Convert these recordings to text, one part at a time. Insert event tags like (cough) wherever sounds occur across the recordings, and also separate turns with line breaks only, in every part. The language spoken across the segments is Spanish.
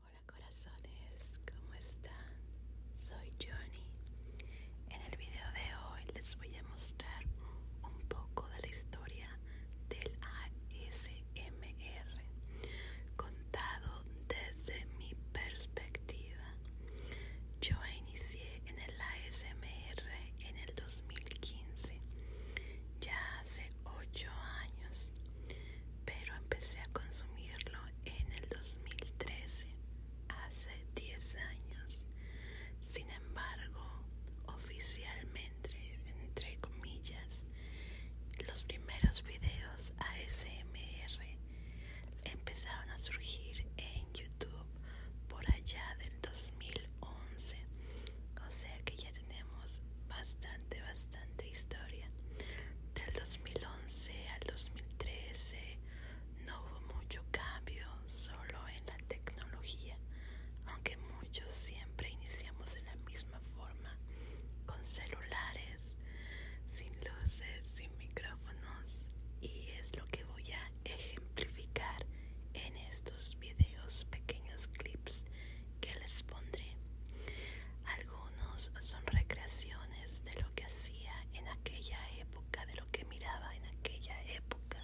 Hola corazones, ¿cómo están? Soy Johnny. En el video de hoy les voy a mostrar un poco de la historia del A.S. ASMR contado desde mi perspectiva. Yo inicié en el ASMR en el 2015, ya hace 8 años, pero empecé a consumirlo en el 2013, hace 10 años. Sin embargo, oficialmente entre, comillas, los primeros videos ASMR empezaron a surgir en YouTube por allá del 2011. O sea que ya tenemos bastante, bastante historia. Del 2011 al 2013 no hubo mucho cambio, solo en la tecnología, aunque muchos siempre iniciamos en la misma forma, con celulares, sin luces, sin micrófonos y es lo que voy a ejemplificar en estos videos, pequeños clips que les pondré. Algunos son recreaciones de lo que hacía en aquella época, de lo que miraba en aquella época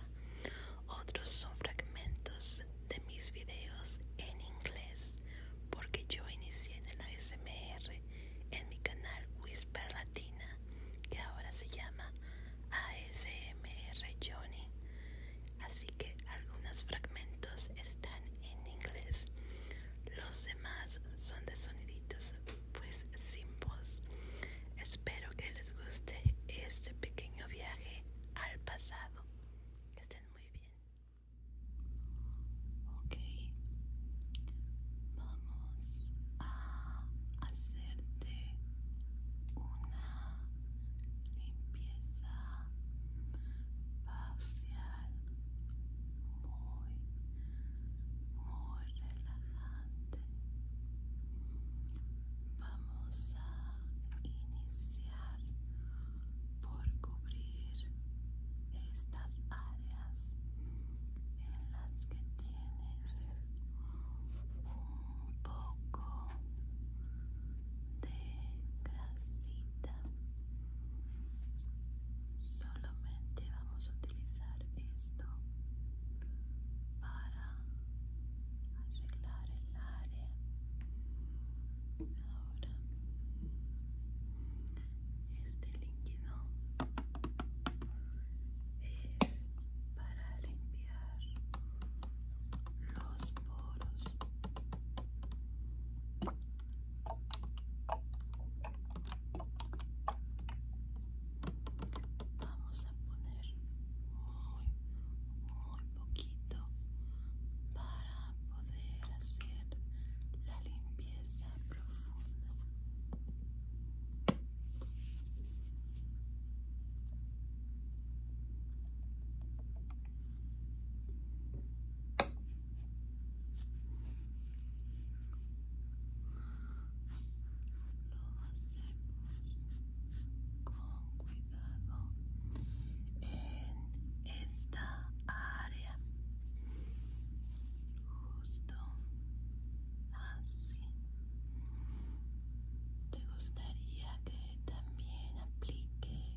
otros son fragmentos de mis videos en inglés, porque yo inicié en el ASMR en mi canal Whisper Latina, que ahora se llama ASMR Johnny. Así que algunos fragmentos están en inglés, los demás son de soniditos, pues sin voz. Espero que les guste este pequeño viaje al pasado estén muy bien. Ok, vamos a hacerte una limpieza facial muy, muy relajante. Vamos a iniciar por cubrir estas áreas en las que tienes un poco de grasita solamente vamos a utilizar esto para arreglar el área ahora este líquido es para limpiar los poros Vamos a poner muy poquito para poder hacer la limpieza profunda. Lo con cuidado en esta área justo así te gustaría que también aplique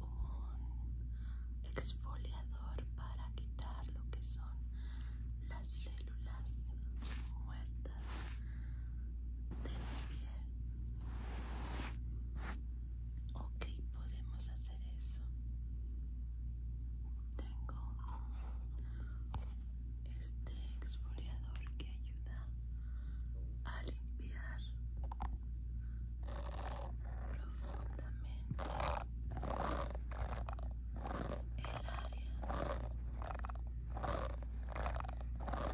un exfoliador para quitar lo que son las células muertas de la piel Ok, podemos hacer eso. Tengo este exfoliador que ayuda a limpiar profundamente el área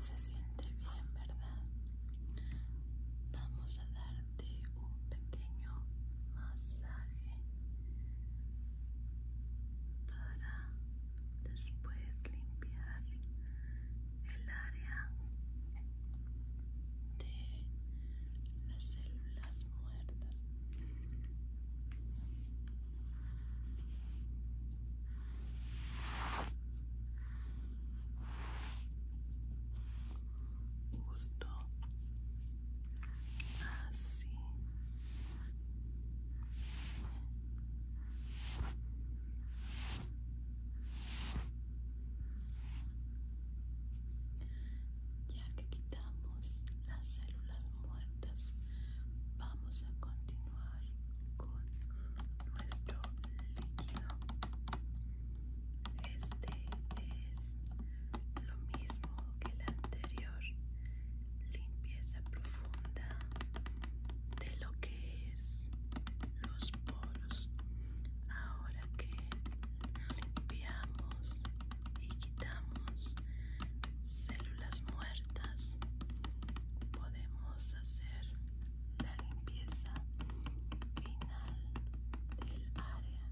Se siente bien, ¿verdad? Vamos a darte un pequeño masaje para después limpiar el área de las células muertas justo así ya que quitamos las células muertas. Vamos a continuar con nuestro líquido. Este es lo mismo que el anterior. Limpieza profunda de lo que es los poros. Ahora que limpiamos y quitamos células muertas podemos hacer la limpieza final del área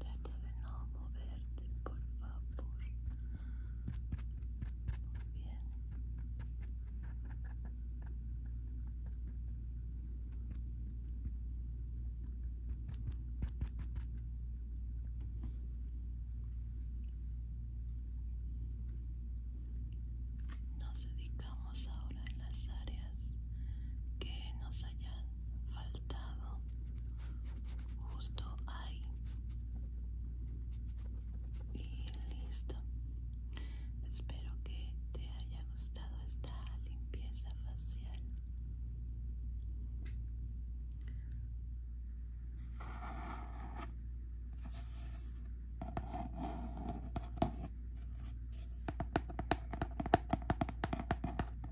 Trata de no moverte, por favor. Muy bien. Nos dedicamos ahora en las áreas que nos hayan faltado justo ahí y listo espero que te haya gustado esta limpieza facial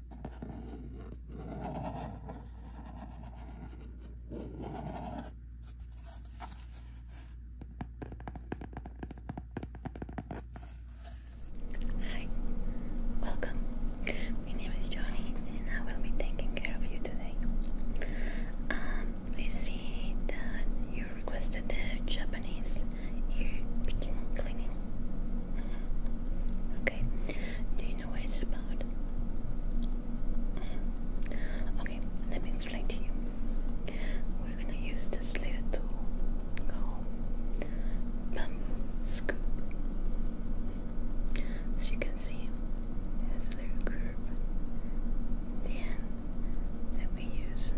Hi, welcome. My name is Johnny, and I will be taking care of you today. Um, I see that you requested the Japanese ear picking cleaning. Okay, do you know what it's about? Okay, let me explain to you. We're gonna use this little tool called bamboo scoop. As you can see, it has a little curve at that we use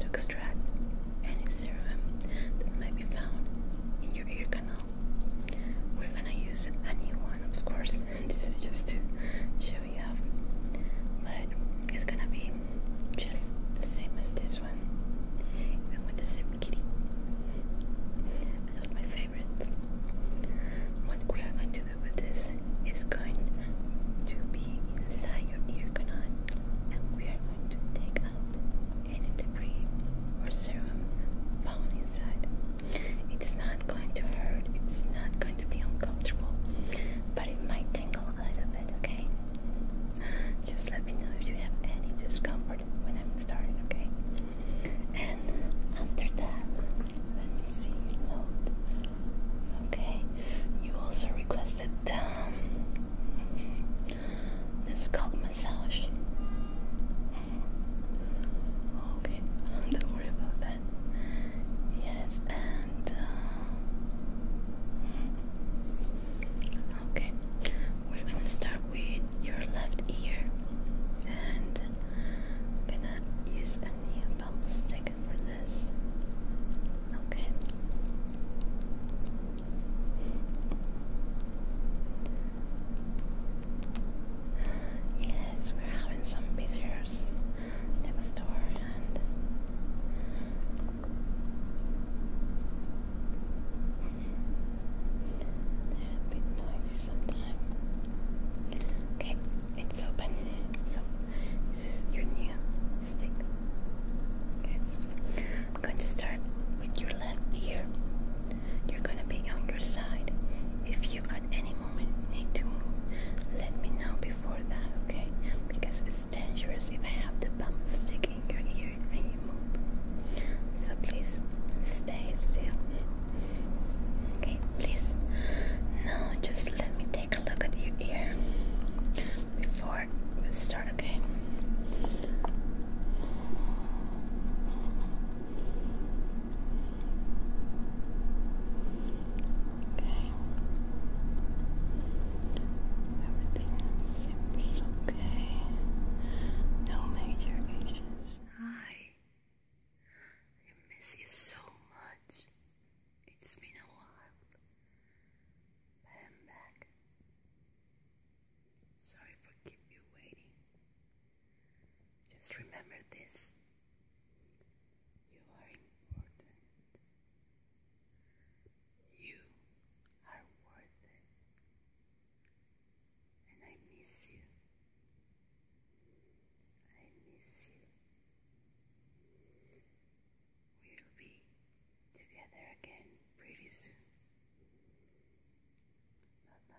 to extract any serum that might be found in your ear canal. We're gonna use a one, of course. this is just to show you off, but it's gonna be just same as this one, even with the same kitty. One of my favorites. What we are going to do with this is going to be inside your ear canal, and we are going to take out any debris or serum found inside. It's not going to hurt, it's not going to be uncomfortable, but it might tingle a little bit, okay? Just let me know if you have any discomfort when I'm starting, okay? And after that, let me see your note. Okay, you also requested um, this is massage. Okay, (laughs) don't worry about that. Yes, and uh, okay, we're gonna start with your left ear, and gonna use a knee bump stick for this. Okay. Yes, we're having some visitors to the and they a bit noisy sometimes. Okay, it's open. So this is your new stick. Okay. I'm going to start with your left ear. You're going to be on your side. If you at any moment need to move, let me know before that, okay? Because it's dangerous if I have the bump stick in your ear and you move. So please stay still. Okay, please. Now just let me take a look at your ear before Let's start, okay? Okay. Everything seems okay. No major issues. Hi. I miss you so much. It's been a while. I'm back. Sorry for keeping you waiting. Just remember this. You are important. You are worth it. And I miss you. I miss you. We'll be together again pretty soon. Bye bye.